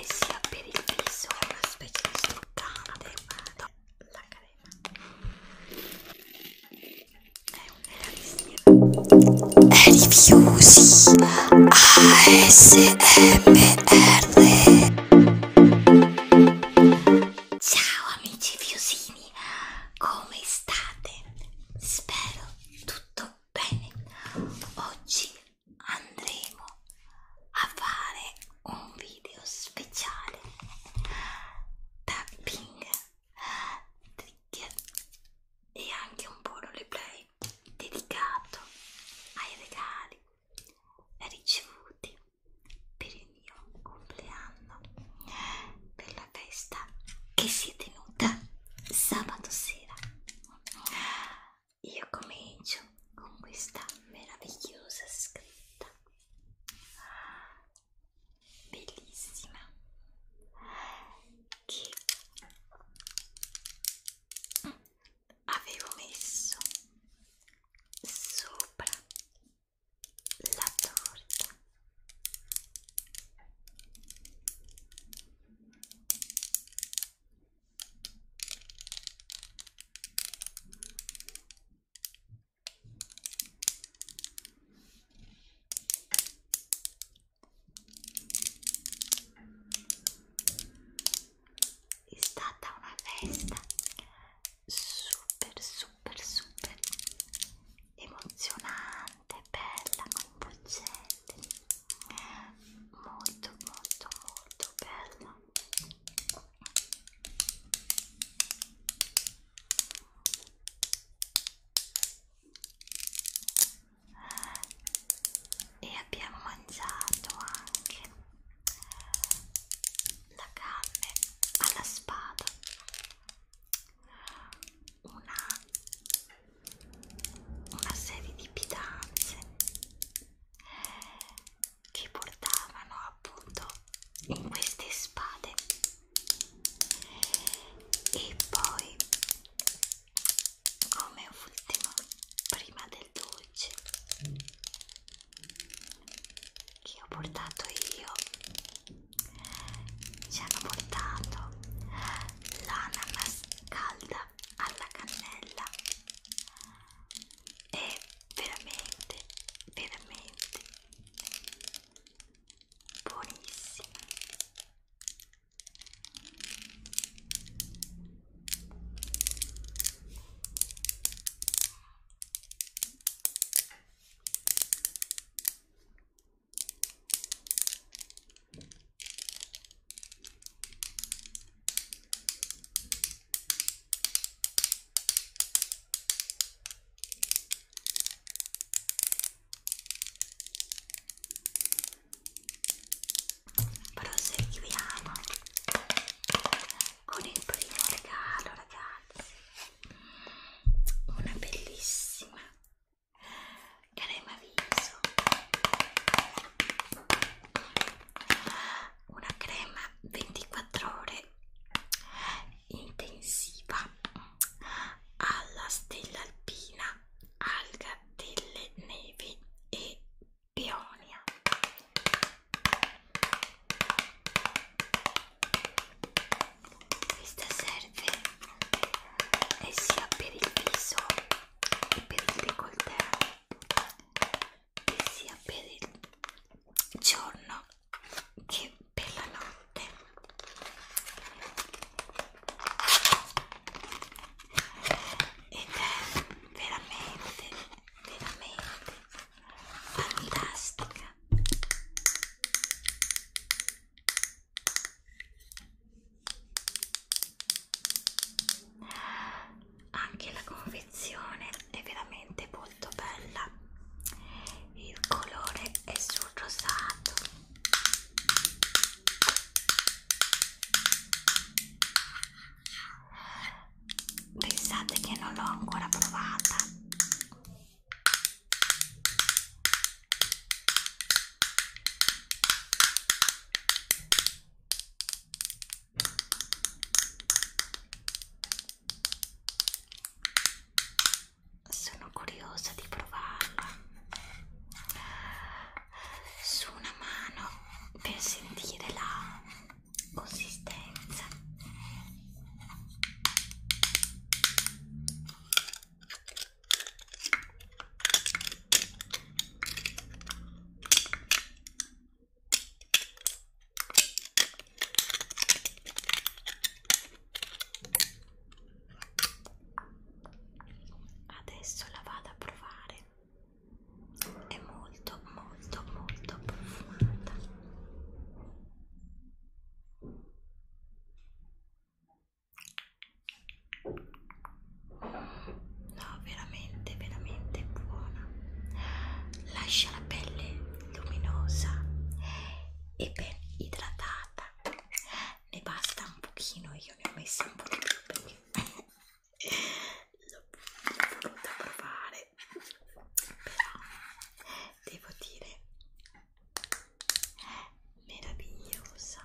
e sia per il viso è una specie di struccante no, la crema è un rifiusi ASMR ciao amici fiusini come state? spero tutto bene oggi andremo a fare un video speciale tapping trigger e anche un po' roleplay dedicato ai regali ricevuti per il mio compleanno per la festa che si è tenuta sabato sera io comincio con questa meravigliosa scritta bellissima che avevo messo sopra la torta è stata una festa super super super emozionante, bella, coinvolgente metri molto molto molto bella e abbiamo mangiato anche la carne alla spada una una serie di pietanze che portavano appunto in queste spade e poi come ultimo prima del dolce che ho portato io ci hanno portato l'ananas calda alla cannella è veramente veramente buonissima Proseguiamo con il primo regalo, ragazzi. Una bellissima crema viso una crema 24 ore intensiva alla stella alpina alga delle nevi e peonia questa serie serve eh, sia per il viso che per il décolleté che sia per il giorno che per la notte ed è veramente veramente fantastica anche la confezione è veramente molto bella il colore è sul rosato pensate che non l'ho ancora provata sono curiosa di provarla su una mano per sentire la consistenza. Adesso la vado a provare. È molto, molto, molto profumata. No, veramente, veramente buona. Lascia la pelle luminosa e ben idratata. Ne basta un pochino, io ne ho messo un po' di più perché l'ho voluta provare. Però devo dire meravigliosa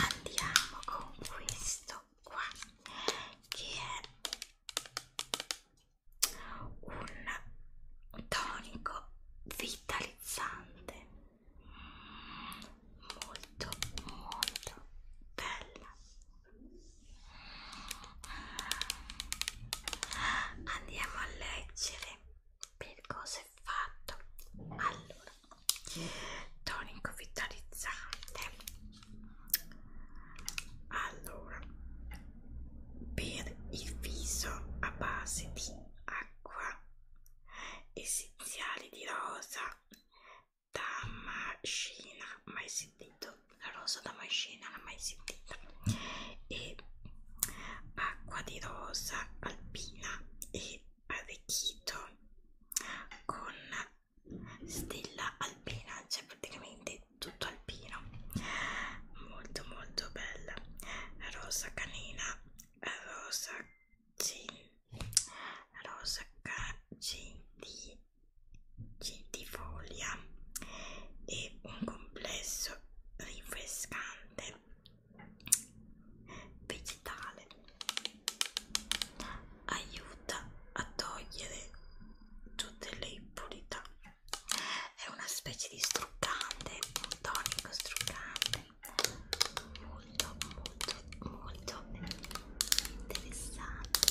Andiamo con questo qua che è un tonico vitalizzante molto molto bella andiamo a leggere per cosa è fatto allora tonico vitalizzante allora per il viso a base di acqua essenziali di rosa damascina mai sentito la rosa damascina l'ha mai sentita e acqua di rosa alpina e arricchito con stella alpina, cioè praticamente tutto alpino, molto molto bella, rosa canina, rosa cin, rosa cintifolia e un complesso rinfrescante vegetale aiuta a togliere tutte le impurità è una specie di struccante un tonico struccante molto molto molto interessante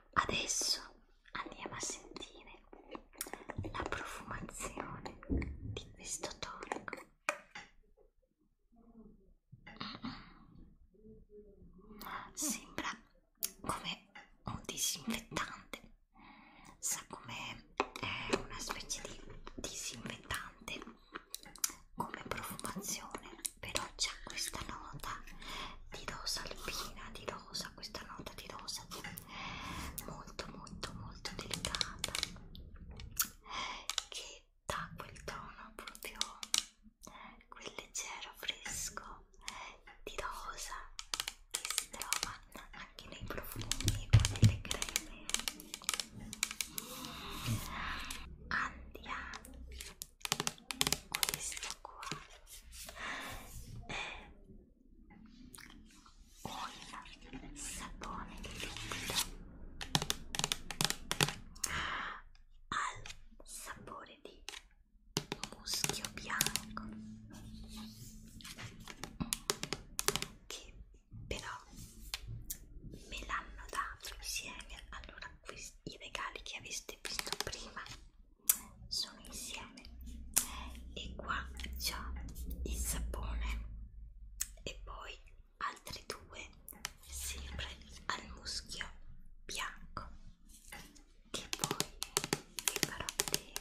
Adesso andiamo a sentire la profumazione di questo tonico. Sembra come un disinfettante, sa come è una specie di disinfettante come profumazione però c'è questa nota di rosa alpina, di rosa, questa nota di rosa molto molto molto delicata che dà quel tono proprio quel leggero fresco di rosa che si trova anche nei profumi o nelle creme andiamo questa qua è un sapone liquido al sapore di muschio bianco che però me l'hanno dato insieme allora qui i regali che avete visto prima sono insieme e qua c'è il sapone e poi altri due sempre al muschio bianco che poi vi farò vedere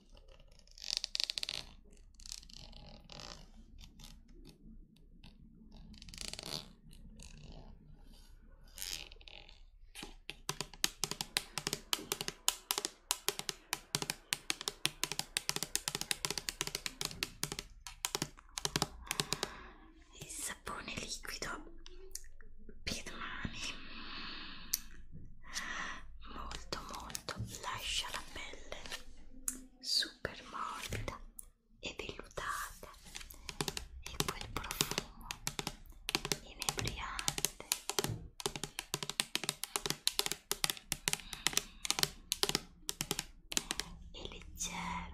il sapone liquido per mani molto molto lascia la pelle super morbida e vellutata e quel profumo inebriante e mm. leggero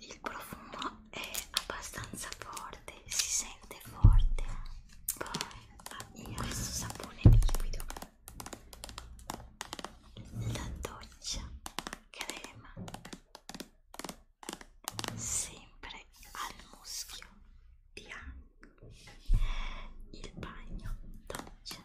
il profumo è abbastanza forte, si sente forte. Poi io questo sapone liquido, la doccia crema, sempre al muschio bianco, il bagno doccia.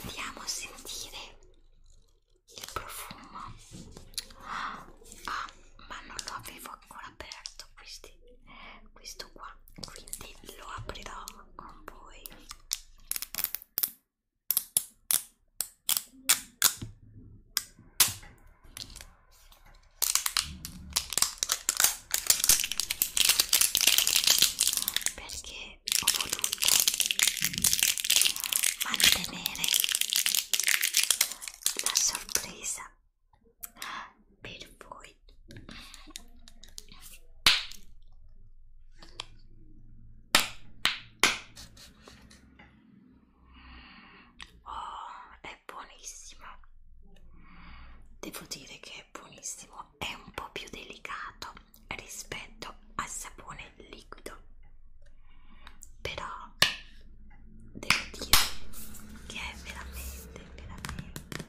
Andiamo a sentire il profumo. Ah, ma non lo avevo ancora aperto, quindi questo qua quindi lo aprirò con voi perché ho voluto mantenere la sorpresa per voi oh, è buonissima devo dire che è buonissimo è un po' più delicato rispetto al sapone liquido però devo dire che è veramente veramente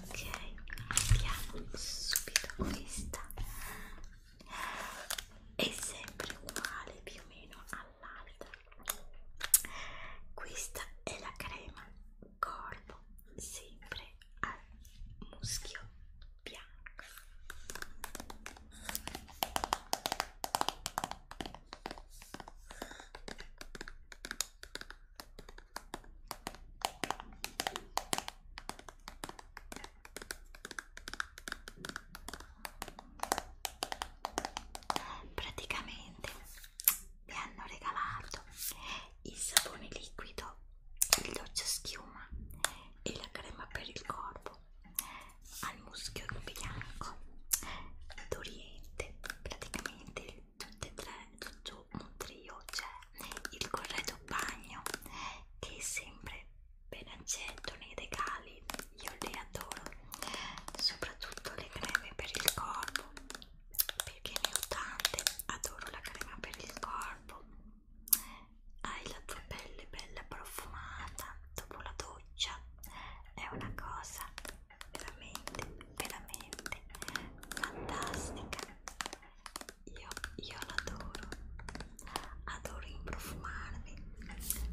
ok abbiamo subito questa è sempre uguale più o meno all'altra questa è la crema corpo sempre al muschio bianco praticamente mi hanno regalato il sapone liquido il doccia schiuma e la crema per il corpo al muschio bianco d'oriente praticamente tutte e tre tutto un trio c'è cioè il corredo bagno che è sempre ben accetto nei regali io le adoro soprattutto le creme per il corpo perché ne ho tante adoro la crema per il corpo hai la tua pelle bella profumata dopo la doccia è una cosa veramente veramente fantastica io, io l'adoro adoro improfumarmi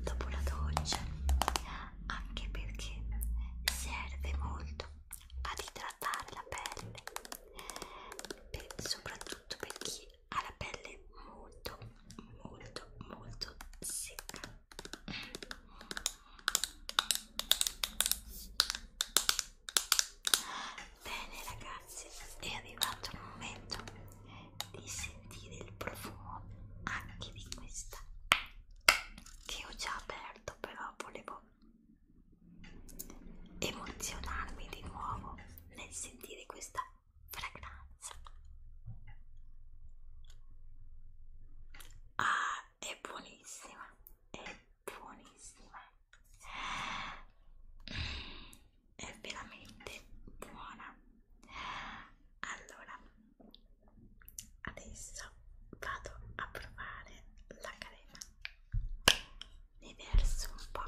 dopo la doccia anche perché serve molto ad idratare la pelle per, soprattutto per chi ha la pelle molto molto molto secca Bene ragazzi, è arrivato il momento di sentire il profumo anche di questa che ho già aperto, però volevo emozionarmi di nuovo nel sentire questa fragranza. Ah, è buonissima, è buonissima è veramente buona allora adesso vado a provare la crema ne verso un po'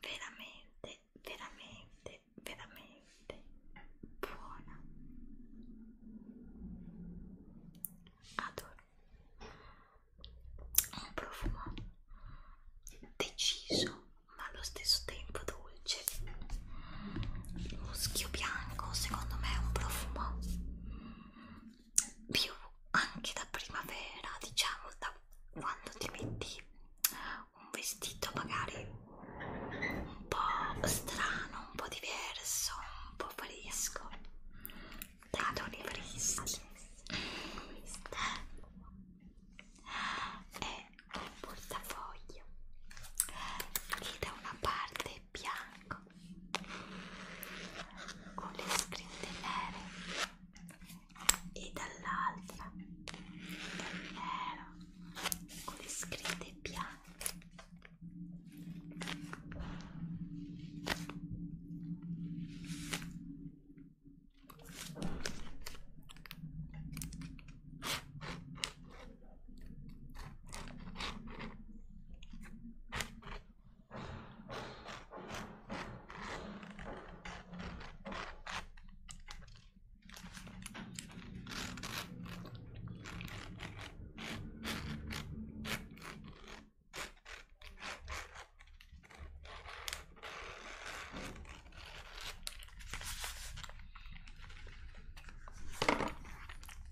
veramente veramente veramente, veramente buona. Adoro. Un profumo deciso ma allo stesso tempo dolce. Muschio bianco secondo me è un profumo più anche da primavera, diciamo da quando ti metti un vestito magari un po' strano, un po' diverso, un po' fresco da toni freschi eh, è eh, un portafoglio che da una parte è bianco con le scritte nere e dall'altra è nero con le scritte bianche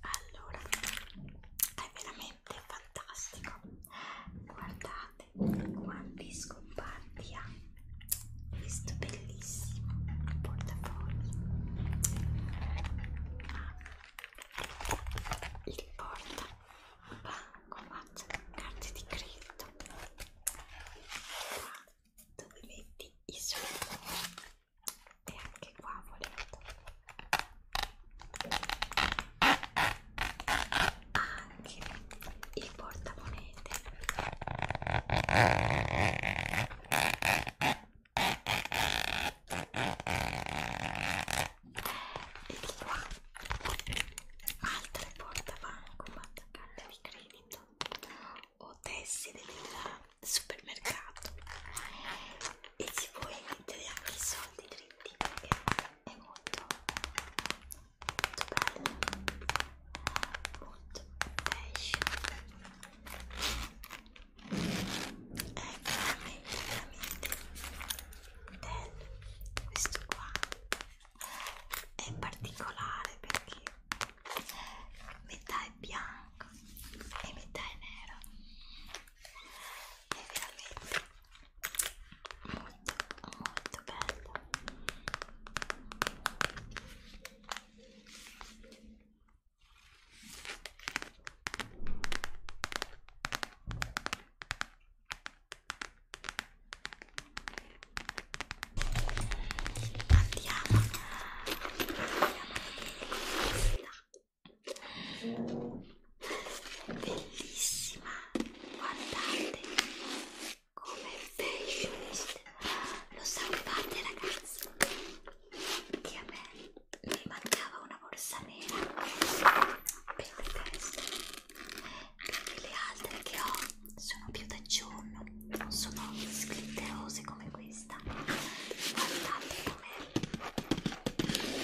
allora, è veramente fantastico. Guardate quanti scomparti ha questo bellissimo portafogli ah, il porta bancomat carte di credito qua dove metti i soldi e anche qua volendo anche il portamonete e di qua altre portabancomat carte di credito o tessere del supermercato e si può mettere anche i soldi dritti che è molto bello molto fashion è veramente veramente bello questo qua è particolare perché metà è bianco e metà è nero è veramente molto molto bello Andiamo, andiamo a vedere bellissima, guardate come fashionist lo salvate ragazzi che a me mi mancava una borsa nera per le teste perché le altre che ho sono più da giorno non sono sglitterose come questa guardate come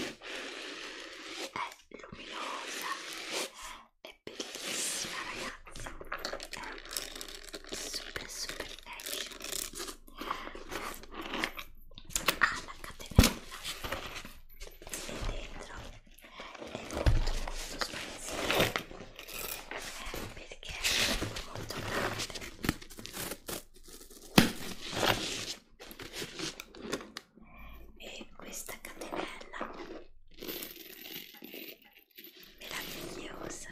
è luminosa è bellissima ragazzi è super super fashion ha la catenella e dentro è molto molto espansiva perché è molto grande e questa catenella meravigliosa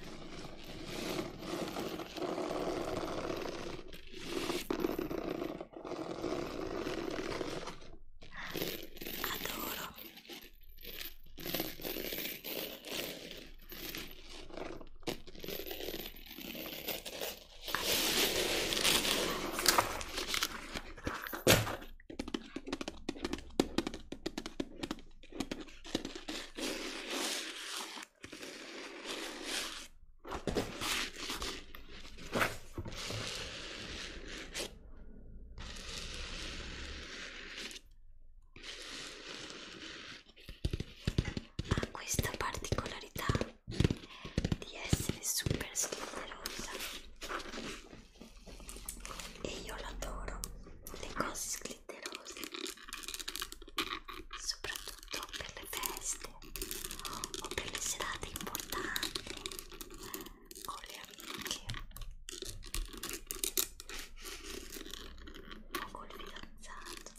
adoro Adoro ha questa particolarità di essere super schiumerosa e io l'adoro le cose glitterose soprattutto per le feste o per le serate importanti con le amiche o col fidanzato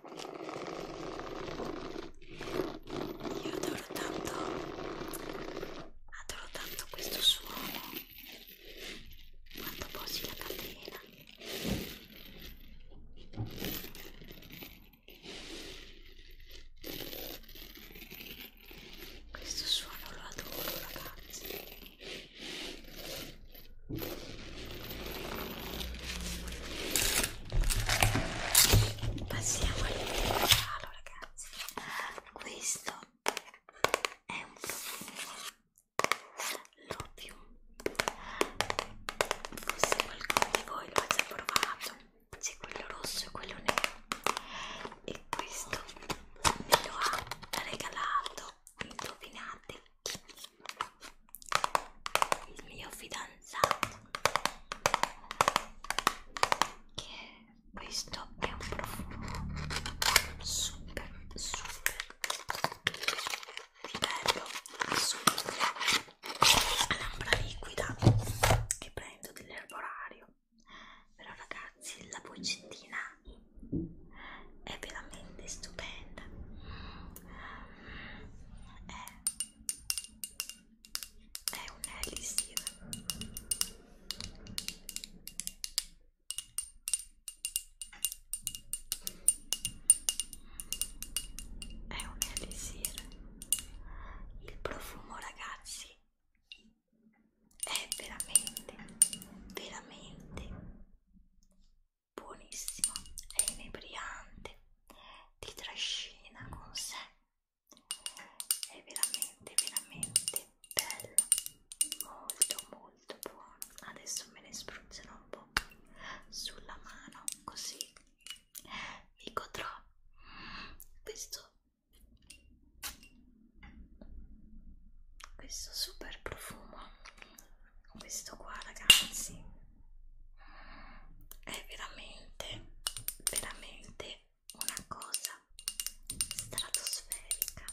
Io adoro tanto, adoro tanto questo suono quando posi la catena. Questo suono lo adoro, ragazzi. Passiamo all'ultimo regalo, ragazzi. Questo è un profumo. L'opium. Forse qualcuno di voi lo ha già provato. C'è quello rosso e quello nero. E questo me lo ha regalato. Indovinate chi? il mio fidanzato che questo è un profumo super super bello super la lampra liquida che prendo dell'erborario però ragazzi la boccettina è veramente stupenda è, è un elisir è un elisir il profumo ragazzi è veramente veramente buonissimo, è inebriante, ti trascina con sé, è veramente, veramente bello, molto, molto buono. Adesso me ne spruzzerò un po' sulla mano, così mi godrò questo, questo super profumo questo qua ragazzi è veramente veramente una cosa stratosferica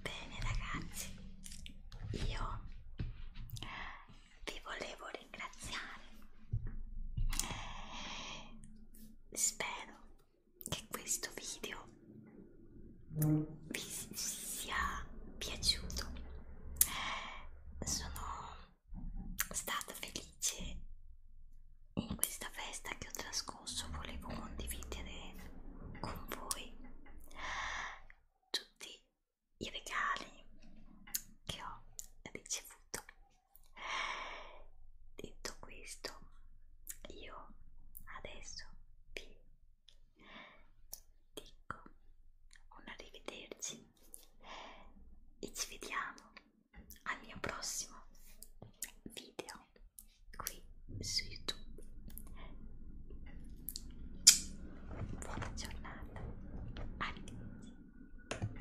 Bene ragazzi, io vi volevo ringraziare spero che questo video vi sia piaciuto sono stata felice in questa festa che ho trascorso volevo condividere con voi tutti i regali che ho ricevuto detto questo io adesso vi dico un arrivederci e ci vediamo al mio prossimo video qui su youtube buona giornata arrivederci